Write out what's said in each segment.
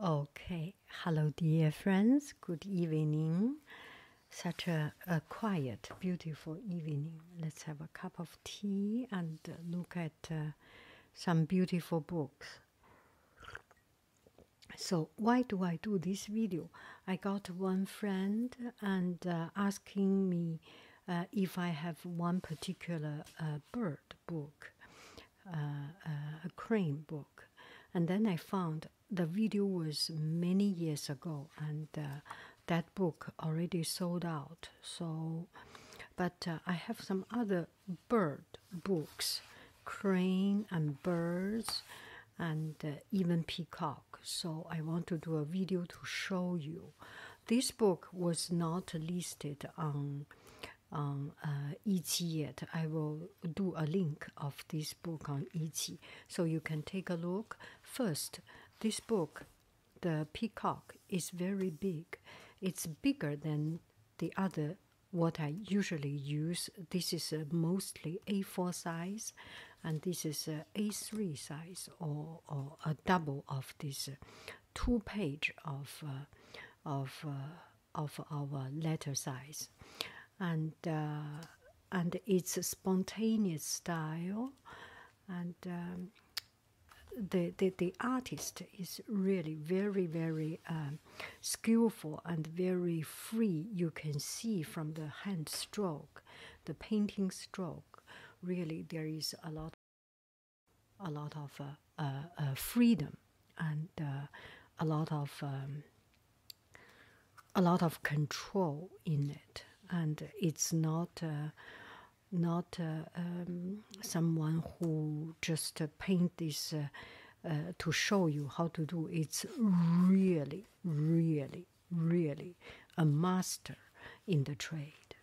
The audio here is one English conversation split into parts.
Okay, hello, dear friends. Good evening. Such a, quiet, beautiful evening. Let's have a cup of tea and look at uh, some beautiful books. So, why do I do this video? I got one friend and uh, asking me uh, if I have one particular bird book, uh, uh, a crane book, and then I found the video was many years ago, and uh, that book already sold out. So, but I have some other bird books, crane and birds, and even peacock. So I want to do a video to show you. This book was not listed on on um, uh, Etsy yet. I will do a link of this book on Etsy so you can take a look. First, this book, The Peacock, is very big. It's bigger than the other what I usually use. This is uh, mostly A4 size and this is uh, a A3 size or, or a double of this uh, two page of uh, of uh, of our letter size, and uh, and its spontaneous style, and um, the, the the artist is really very very um, skillful and very free. You can see from the hand stroke, the painting stroke. Really, there is a lot a lot of uh, uh, uh, freedom and a lot of um, a lot of control in it, and it's not not um, someone who just uh, paint this to show you how to do. It's really, really, really a master in the trade.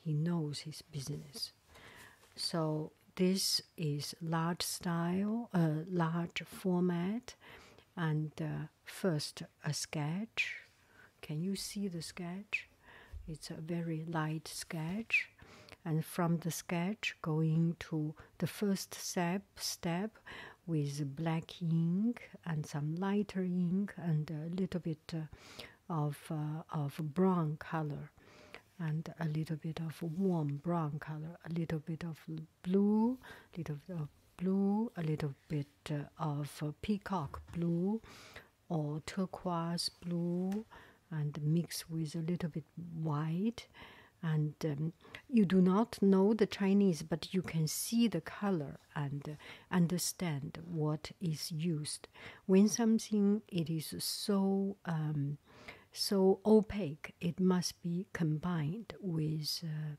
He knows his business. So this is large style, a uh, large format, and uh, first a sketch. Can you see the sketch? It's a very light sketch, and from the sketch going to the first step step with black ink and some lighter ink and a little bit. Uh, of uh, of brown color, and a little bit of warm brown color, a little bit of blue, little bit of blue, a little bit uh, of peacock blue, or turquoise blue, and mix with a little bit white. And um, you do not know the Chinese, but you can see the color and understand what is used. When something it is so um, so opaque, it must be combined with uh,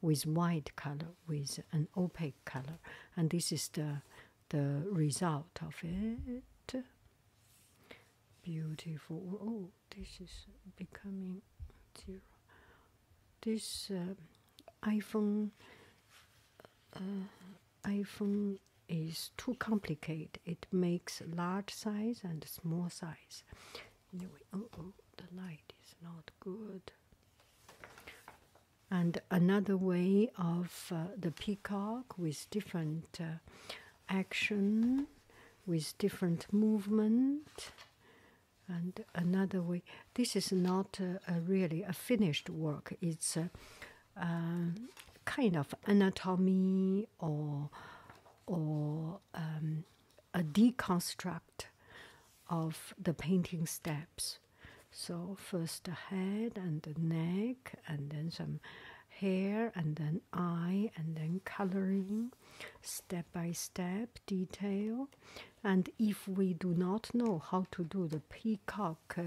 with white color, with an opaque color, and this is the the result of it. Beautiful. Oh, this is becoming zero this eh, iPhone eh, iPhone is too complicated. It makes large size and small size. Oh, oh, the light is not good. And another way of uh, the peacock with different uh, action, with different movement, and another way. This is not really a finished work. It's a, kind of anatomy or or um, a deconstruct of the painting steps. So first the head and the neck, and then some hair, and then eye, and then coloring, step by step detail, and if we do not know how to do the peacock uh,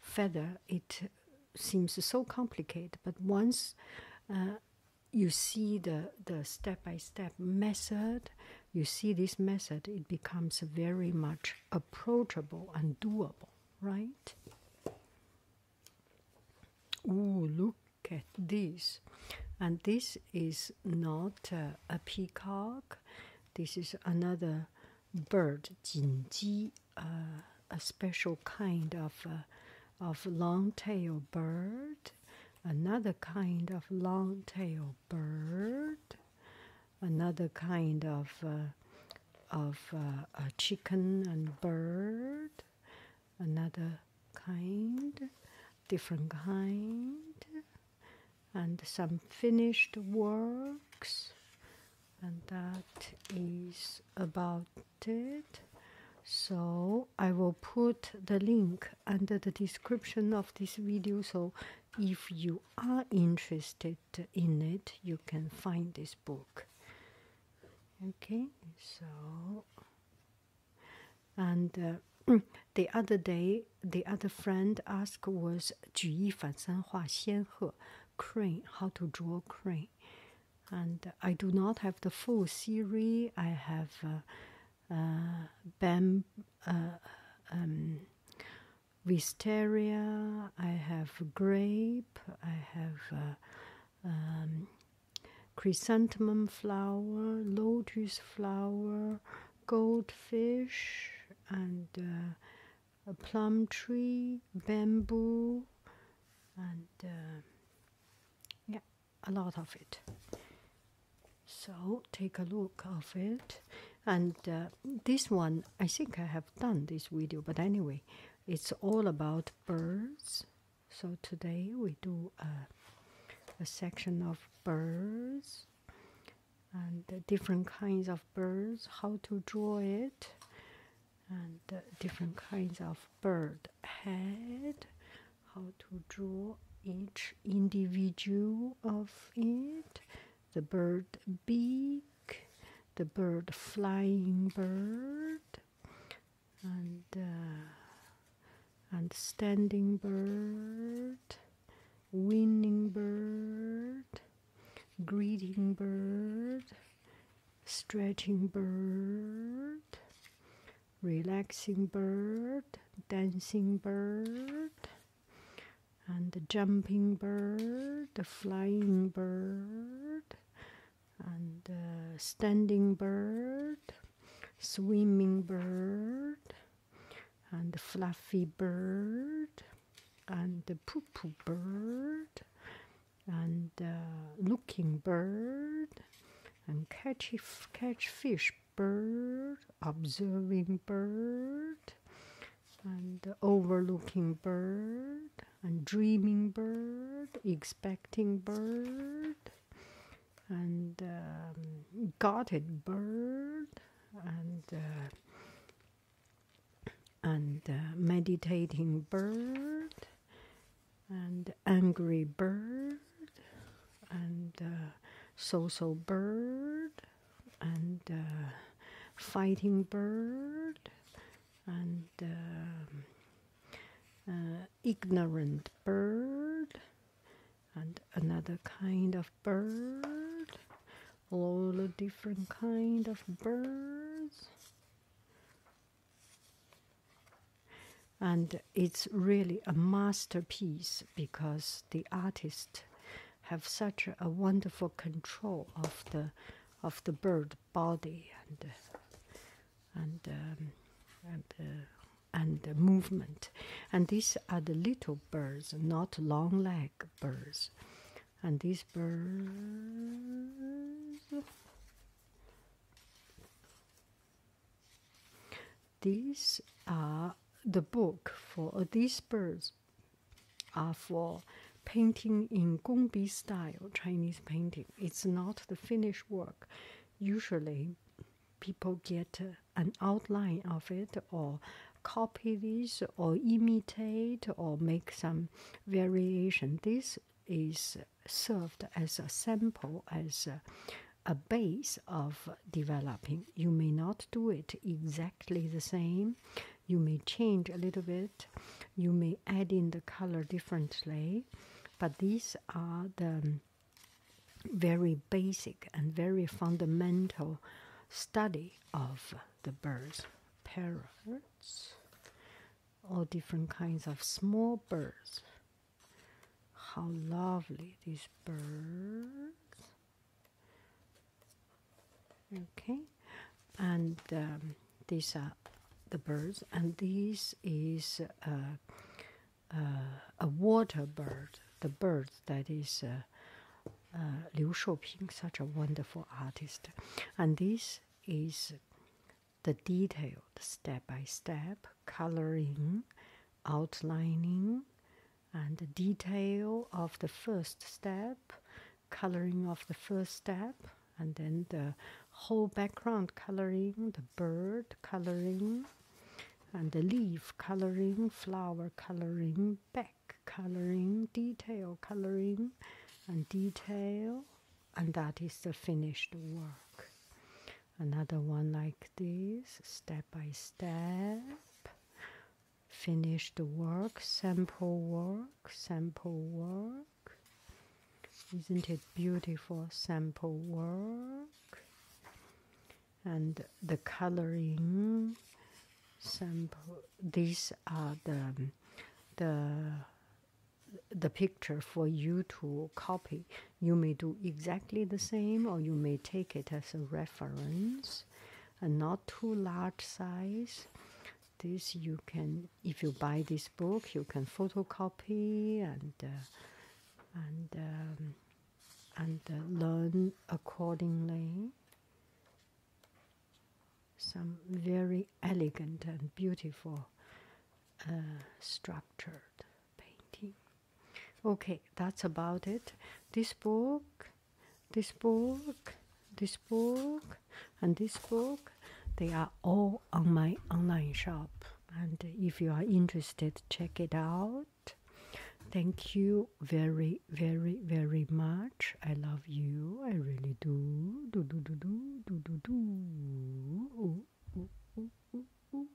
feather, it seems so complicated. But once uh, you see the the step by step method, you see this method, it becomes very much approachable and doable, right? Ooh, look at this, and this is not a peacock. This is another bird, 锦鸡, uh, a special kind of uh, of long tailed bird. Another kind of long tailed bird. Another kind of uh, of uh, a chicken and bird another kind, different kind, and some finished works. And that is about it. So I will put the link under the description of this video. So if you are interested in it, you can find this book. Okay, so and uh, the other day, the other friend asked was 举一反三画仙鹤 crane, how to draw crane. And I do not have the full series. I have uh, uh, uh, um, wisteria. I have grape. I have uh, um, chrysanthemum flower, lotus flower, goldfish, and uh, a plum tree, bamboo, and uh, yeah, a lot of it. So take a look of it, and uh, this one I think I have done this video, but anyway, it's all about birds so today we do a, section of birds and different kinds of birds, how to draw it, and different kinds of bird head, how to draw each individual of it, the bird beak, the bird flying bird, uh, and standing bird, winning bird, greeting bird, stretching bird, relaxing bird, dancing bird. And jumping bird, the flying bird, and uh, standing bird, swimming bird, and fluffy bird, and the poo bird, and uh, looking bird, and catch f catch fish bird, observing bird, and overlooking bird, and dreaming bird, expecting bird, and um, bird, and uh, and uh, meditating bird, and angry bird, and so uh, so bird, and fighting bird, and um, uh, ignorant bird, and another kind of bird, all the different kind of birds. And it's really a masterpiece because the artists have such a wonderful control of the of the bird body and uh, and um, uh, and the movement, and these are the little birds, not long leg birds, and these birds. These are the book for uh, these birds are for painting in Gongbi style Chinese painting. It's not the finished work. Usually, people get an outline of it or copy this or imitate or make some variation. This is served as a sample, as a, a base of developing. You may not do it exactly the same you may change a little bit you may add in the color differently but these are the very basic and very fundamental study of the birds parrots all different kinds of small birds how lovely these birds Okay, and um, these are the birds, and this is uh, uh, a water bird, the bird that is uh, Liu Shouping, such a wonderful artist, and this is the detailed step by step coloring, outlining, and the detail of the first step, coloring of the first step, and then the whole background coloring, the bird coloring, and the leaf coloring, flower coloring, back coloring, detail coloring, and detail, and that is the finished work. Another one like this, step by step. Finished work, sample work, sample work. Isn't it beautiful? Sample work and the coloring sample. These are the the the picture for you to copy. You may do exactly the same, or you may take it as a reference not too large size. This you can, if you buy this book, you can photocopy and uh, and um, and uh, learn accordingly. Some very elegant and beautiful uh, structured painting okay that's about it this book this book this book and this book they are all on my online shop and if you are interested check it out thank you very very very much i love you i really do do do do do do do do Ooh, ooh, ooh, ooh, ooh.